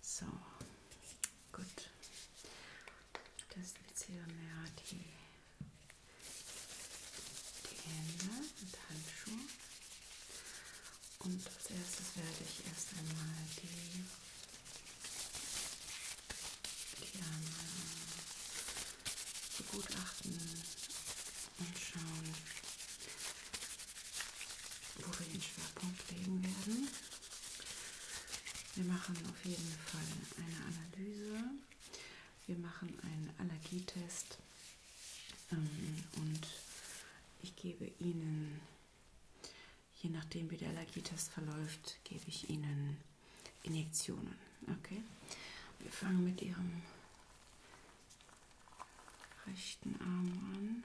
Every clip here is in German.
So, gut. Das ist jetzt hier mehr die, die Hände und Handschuhe. Und als erstes werde ich erst einmal die, die Arme begutachten und schauen, wo wir den Schwerpunkt legen werden. Wir machen auf jeden Fall eine Analyse. Wir machen einen Allergietest ähm, und ich gebe Ihnen, je nachdem wie der Allergietest verläuft, gebe ich Ihnen Injektionen. Okay? Wir fangen mit Ihrem rechten Arm an.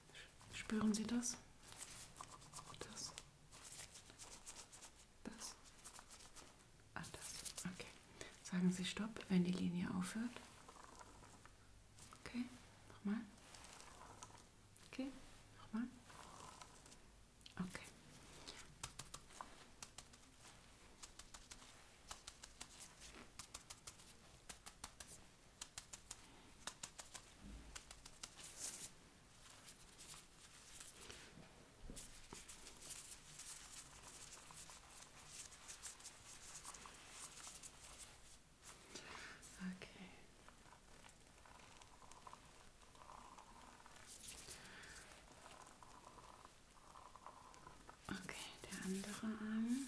Spüren Sie das? Das? Das? Ah, das. Okay. Sagen Sie Stopp, wenn die Linie aufhört. Okay, nochmal. Okay, nochmal. Okay. Okay. Okay, der andere Arm.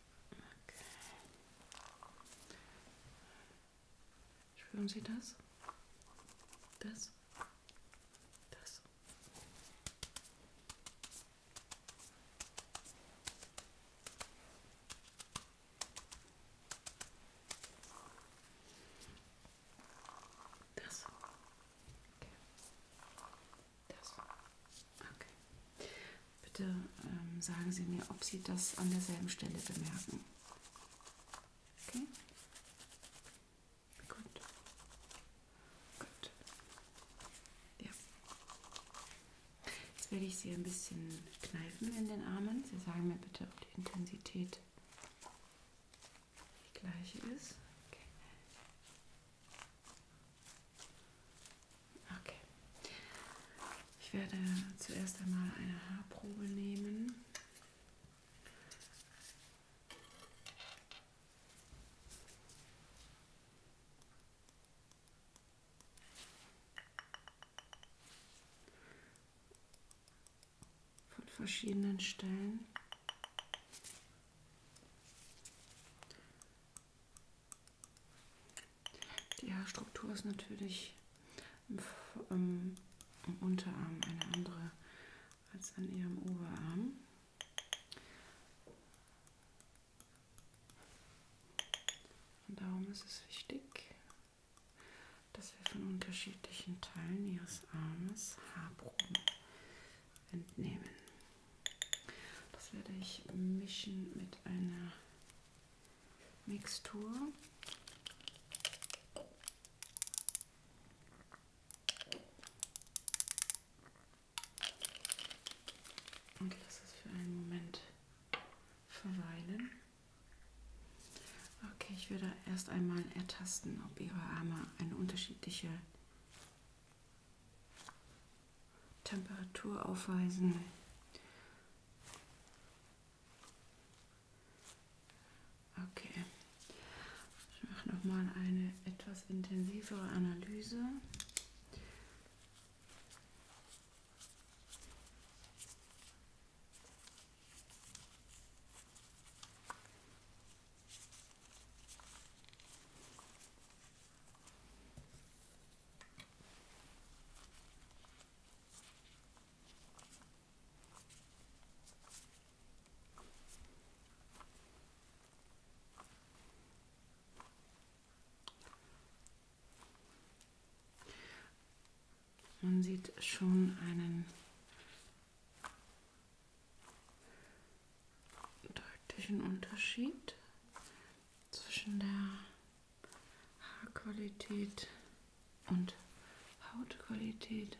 Okay. Spüren Sie das? Das? Das? Das. Okay. Das. Okay. Bitte ähm, sagen Sie mir, ob Sie das an derselben Stelle bemerken. Okay? Gut. Gut. Ja. Jetzt werde ich Sie ein bisschen kneifen in den Armen. Sie sagen mir bitte, ob die Intensität die gleiche ist. Okay. Okay. Ich werde zuerst einmal eine Haarprobe nehmen. Von verschiedenen Stellen. Die Haarstruktur ist natürlich im, im, im Unterarm eine andere als an ihrem Oberarm. Und darum ist es wichtig, dass wir von unterschiedlichen Teilen ihres Armes Haarproben entnehmen. Das werde ich mischen mit einer Mixtur. Und lasse es für einen Moment verweilen. Okay, ich werde erst einmal ertasten, ob Ihre Arme eine unterschiedliche Temperatur aufweisen. Okay. Ich mache nochmal eine etwas intensivere Analyse. Man sieht schon einen deutlichen Unterschied zwischen der Haarqualität und Hautqualität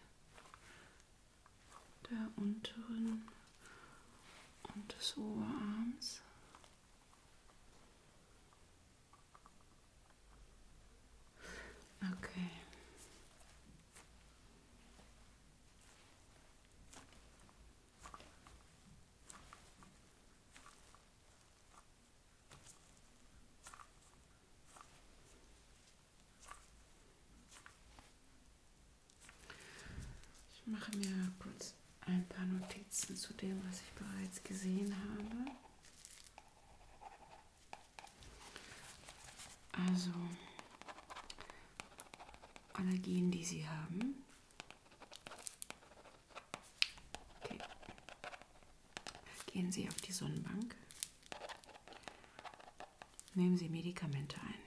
der unteren und des Oberarms. Okay. Ich mache mir kurz ein paar Notizen zu dem, was ich bereits gesehen habe. Also Allergien, die Sie haben, Okay. Gehen Sie auf die Sonnenbank. Nehmen Sie Medikamente ein.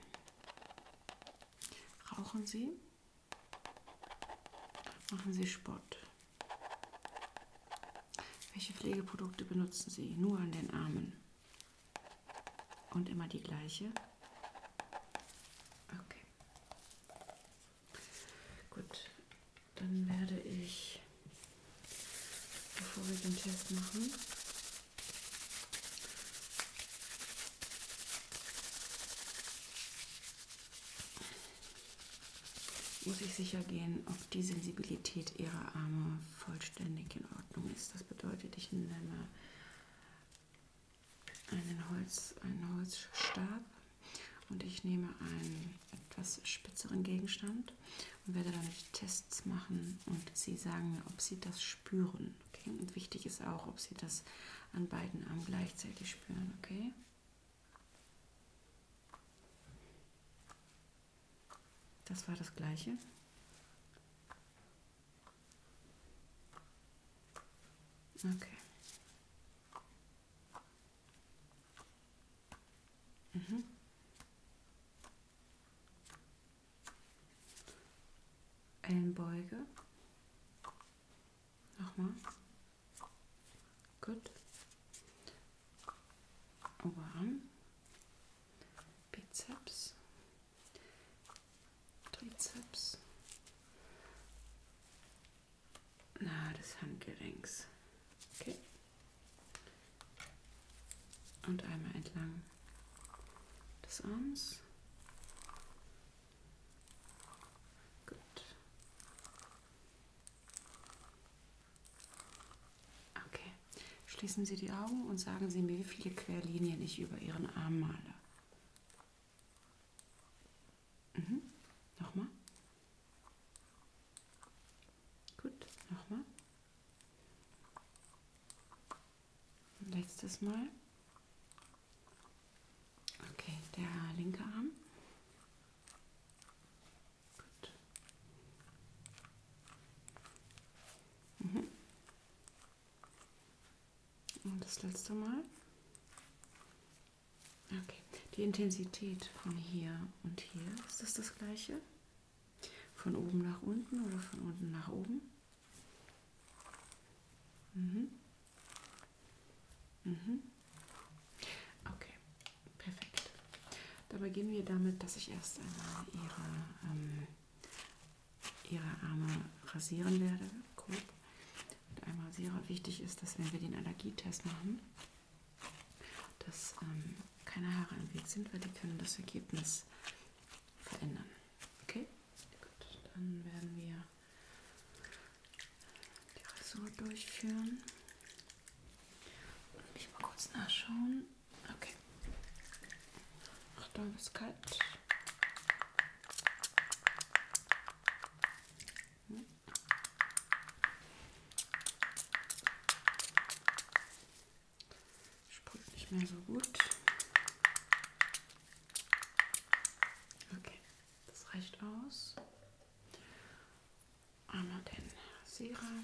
Rauchen Sie. Machen Sie Sport. Welche Pflegeprodukte benutzen Sie? Nur an den Armen. Und immer die gleiche. Okay. Gut, dann werde ich, bevor wir den Test machen, muss ich sicher gehen, ob die Sensibilität ihrer Arme vollständig in Ordnung ist. Das bedeutet, ich nehme einen, Holz, einen Holzstab und ich nehme einen etwas spitzeren Gegenstand und werde damit Tests machen und Sie sagen mir, ob Sie das spüren. Okay? Und wichtig ist auch, ob Sie das an beiden Armen gleichzeitig spüren. Okay? Das war das gleiche. Okay. Mhm. Ellenbeuge. Nochmal. Gut. Oberarm. Bizeps. Trizeps. Na, des Handgelenks. Okay. Und einmal entlang des Arms. Gut. Okay. Schließen Sie die Augen und sagen Sie mir, wie viele Querlinien ich über Ihren Arm male. Mhm. Nochmal. Gut, nochmal. Letztes Mal. Okay, der linke Arm. Gut. Mhm. Und oh, das letzte Mal. Okay, die Intensität von hier und hier, ist das das gleiche? Von oben nach unten oder von unten nach oben? Mhm. Mhm. Okay, perfekt. Da beginnen wir damit, dass ich erst einmal Ihre ähm, ihre Arme rasieren werde, grob, mit einem Rasierer. Wichtig ist, dass wenn wir den Allergietest machen, dass ähm, keine Haare im Weg sind, weil die können das Ergebnis verändern. Okay? Gut, dann werden wir die Rasur durchführen. Und mich mal kurz nachschauen. Okay. Achtung, ist kalt. Hm. Sprüht nicht mehr so gut. Okay, das reicht aus. Einmal den Serum.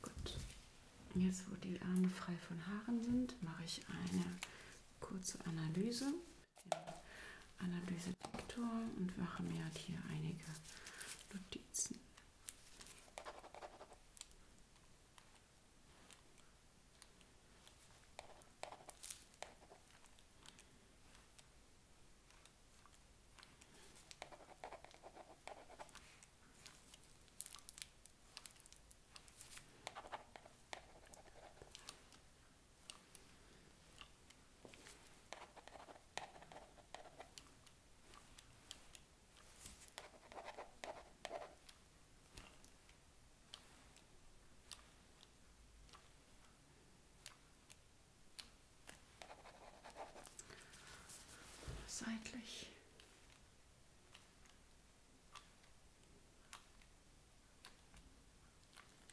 Gut, jetzt wo die Arme frei von Haaren sind, mache ich eine kurze Analyse. Analyse Diktor und Wachmeer hat halt hier einige Notizen. Seitlich.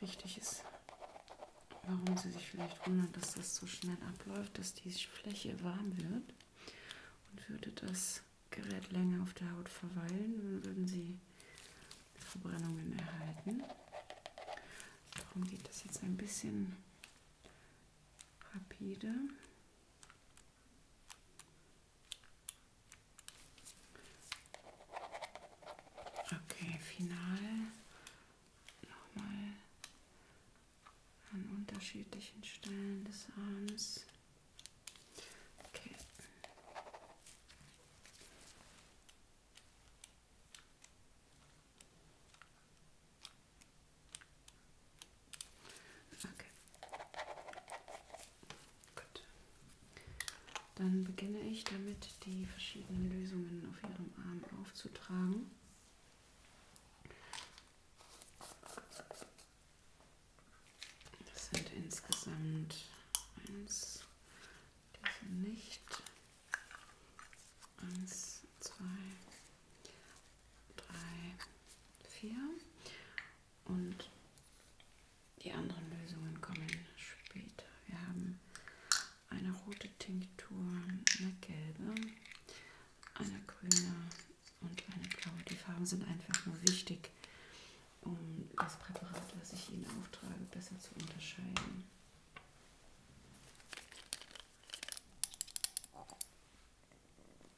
Wichtig ist, warum Sie sich vielleicht wundern, dass das so schnell abläuft, dass die Fläche warm wird und würde das Gerät länger auf der Haut verweilen, dann würden Sie Verbrennungen erhalten. Darum geht das jetzt ein bisschen rapide. Okay, final nochmal an unterschiedlichen Stellen des Arms. Okay. Okay. Gut. Dann beginne ich damit, die verschiedenen Lösungen auf Ihrem Arm aufzutragen. Das sind insgesamt eins, diese nicht. Eins, zwei, drei, vier. Und die anderen Lösungen kommen später. Wir haben eine rote Tinktur, eine gelbe, eine grüne und eine blaue. Die Farben sind einfach nur wichtig, um das Präparat, was ich Ihnen auftrage, besser zu unterscheiden. Okay.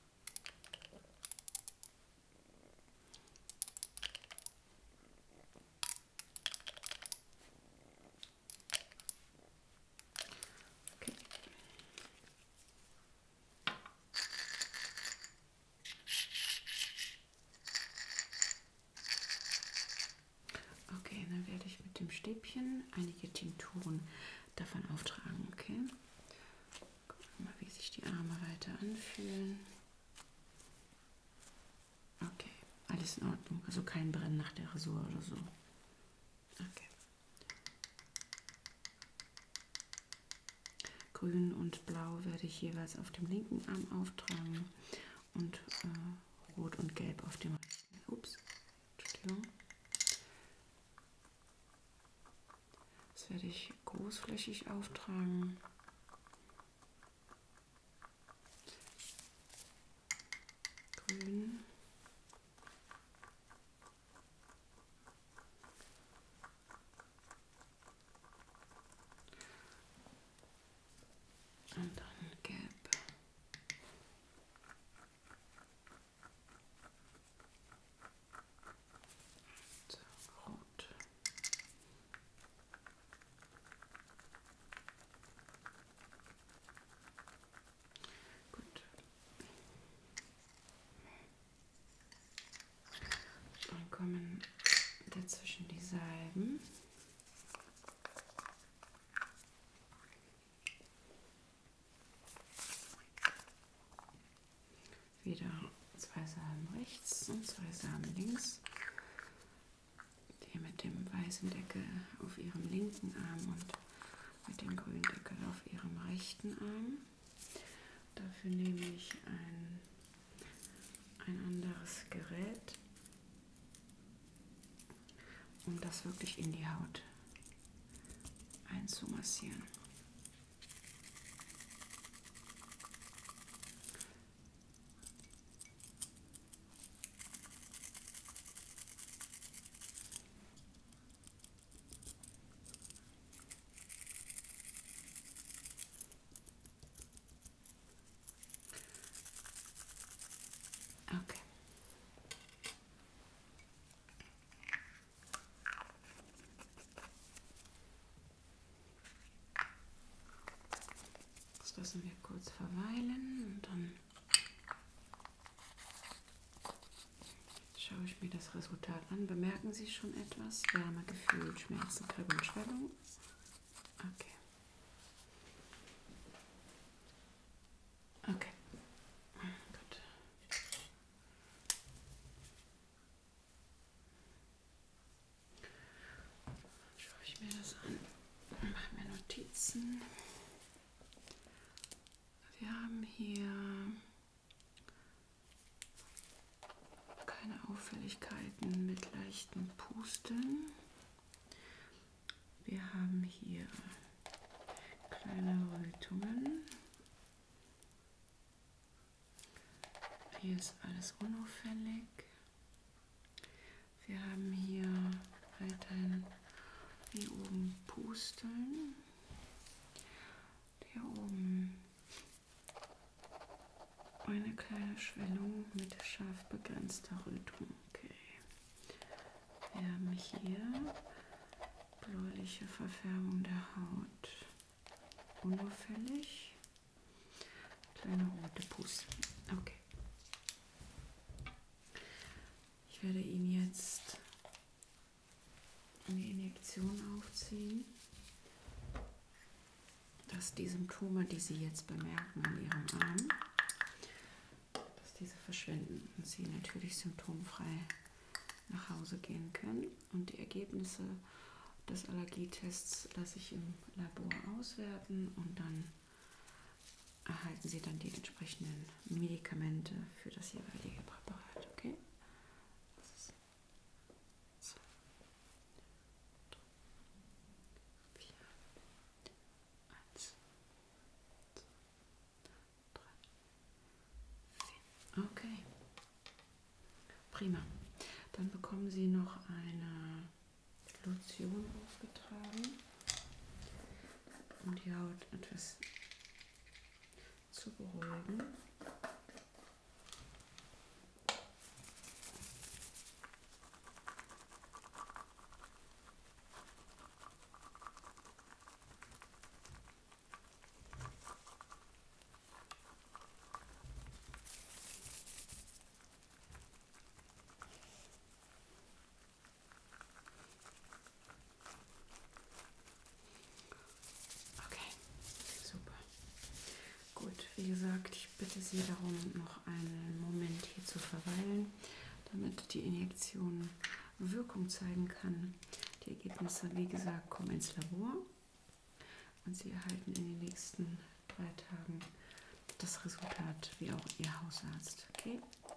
okay, dann werde ich mit dem Stäbchen einige Tinkturen davon auftragen, okay? Gucken wir mal, wie sich die Arme weiter anfühlen. Okay, alles in Ordnung. Also kein Brennen nach der Rasur oder so. Okay. Grün und Blau werde ich jeweils auf dem linken Arm auftragen und äh, Rot und Gelb auf dem rechten. Ups, Entschuldigung. Das werde ich großflächig auftragen. Grün. Und dann gelb. So, rot. Gut. Dann kommen dazwischen die Salben. Wieder zwei Samen rechts und zwei Samen links. Die mit dem weißen Deckel auf ihrem linken Arm und mit dem grünen Deckel auf ihrem rechten Arm. Dafür nehme ich ein, ein anderes Gerät um das wirklich in die Haut einzumassieren. Okay. Das lassen wir kurz verweilen und dann schaue ich mir das Resultat an. Bemerken Sie schon etwas? Wärmegefühl, Schmerzen, Kribbeln, Schwellung. Okay. Okay. Gut. Schaue ich mir das an. Machen wir Notizen. Wir haben hier keine Auffälligkeiten mit leichten Pusten. Wir haben hier kleine Rötungen. Hier ist alles unauffällig. Wir haben hier weiterhin hier oben Pusteln. Hier oben eine kleine Schwellung mit scharf begrenzter Rötung. Okay. Wir haben hier bläuliche Verfärbung der Haut, unauffällig, kleine rote Pusten. Okay. Ich werde ihn jetzt eine Injektion aufziehen, dass die Symptome, die Sie jetzt bemerken an Ihrem Arm, dass diese verschwinden und sie natürlich symptomfrei nach Hause gehen können. Und die Ergebnisse des Allergietests lasse ich im Labor auswerten und dann erhalten Sie dann die entsprechenden Medikamente für das jeweilige Präparat. Okay? Das ist zwei, drei, vier, eins, zwei, drei, drei, vier. Okay. Prima. Dann bekommen Sie noch eine Lotion aufgetragen, um die Haut etwas zu beruhigen. Okay, super. Gut, wie gesagt, ich bitte Sie darum, noch einen Moment hier zu verweilen damit die Injektion Wirkung zeigen kann. Die Ergebnisse, wie gesagt, kommen ins Labor und Sie erhalten in den nächsten drei Tagen das Resultat, wie auch Ihr Hausarzt. Okay? Gut.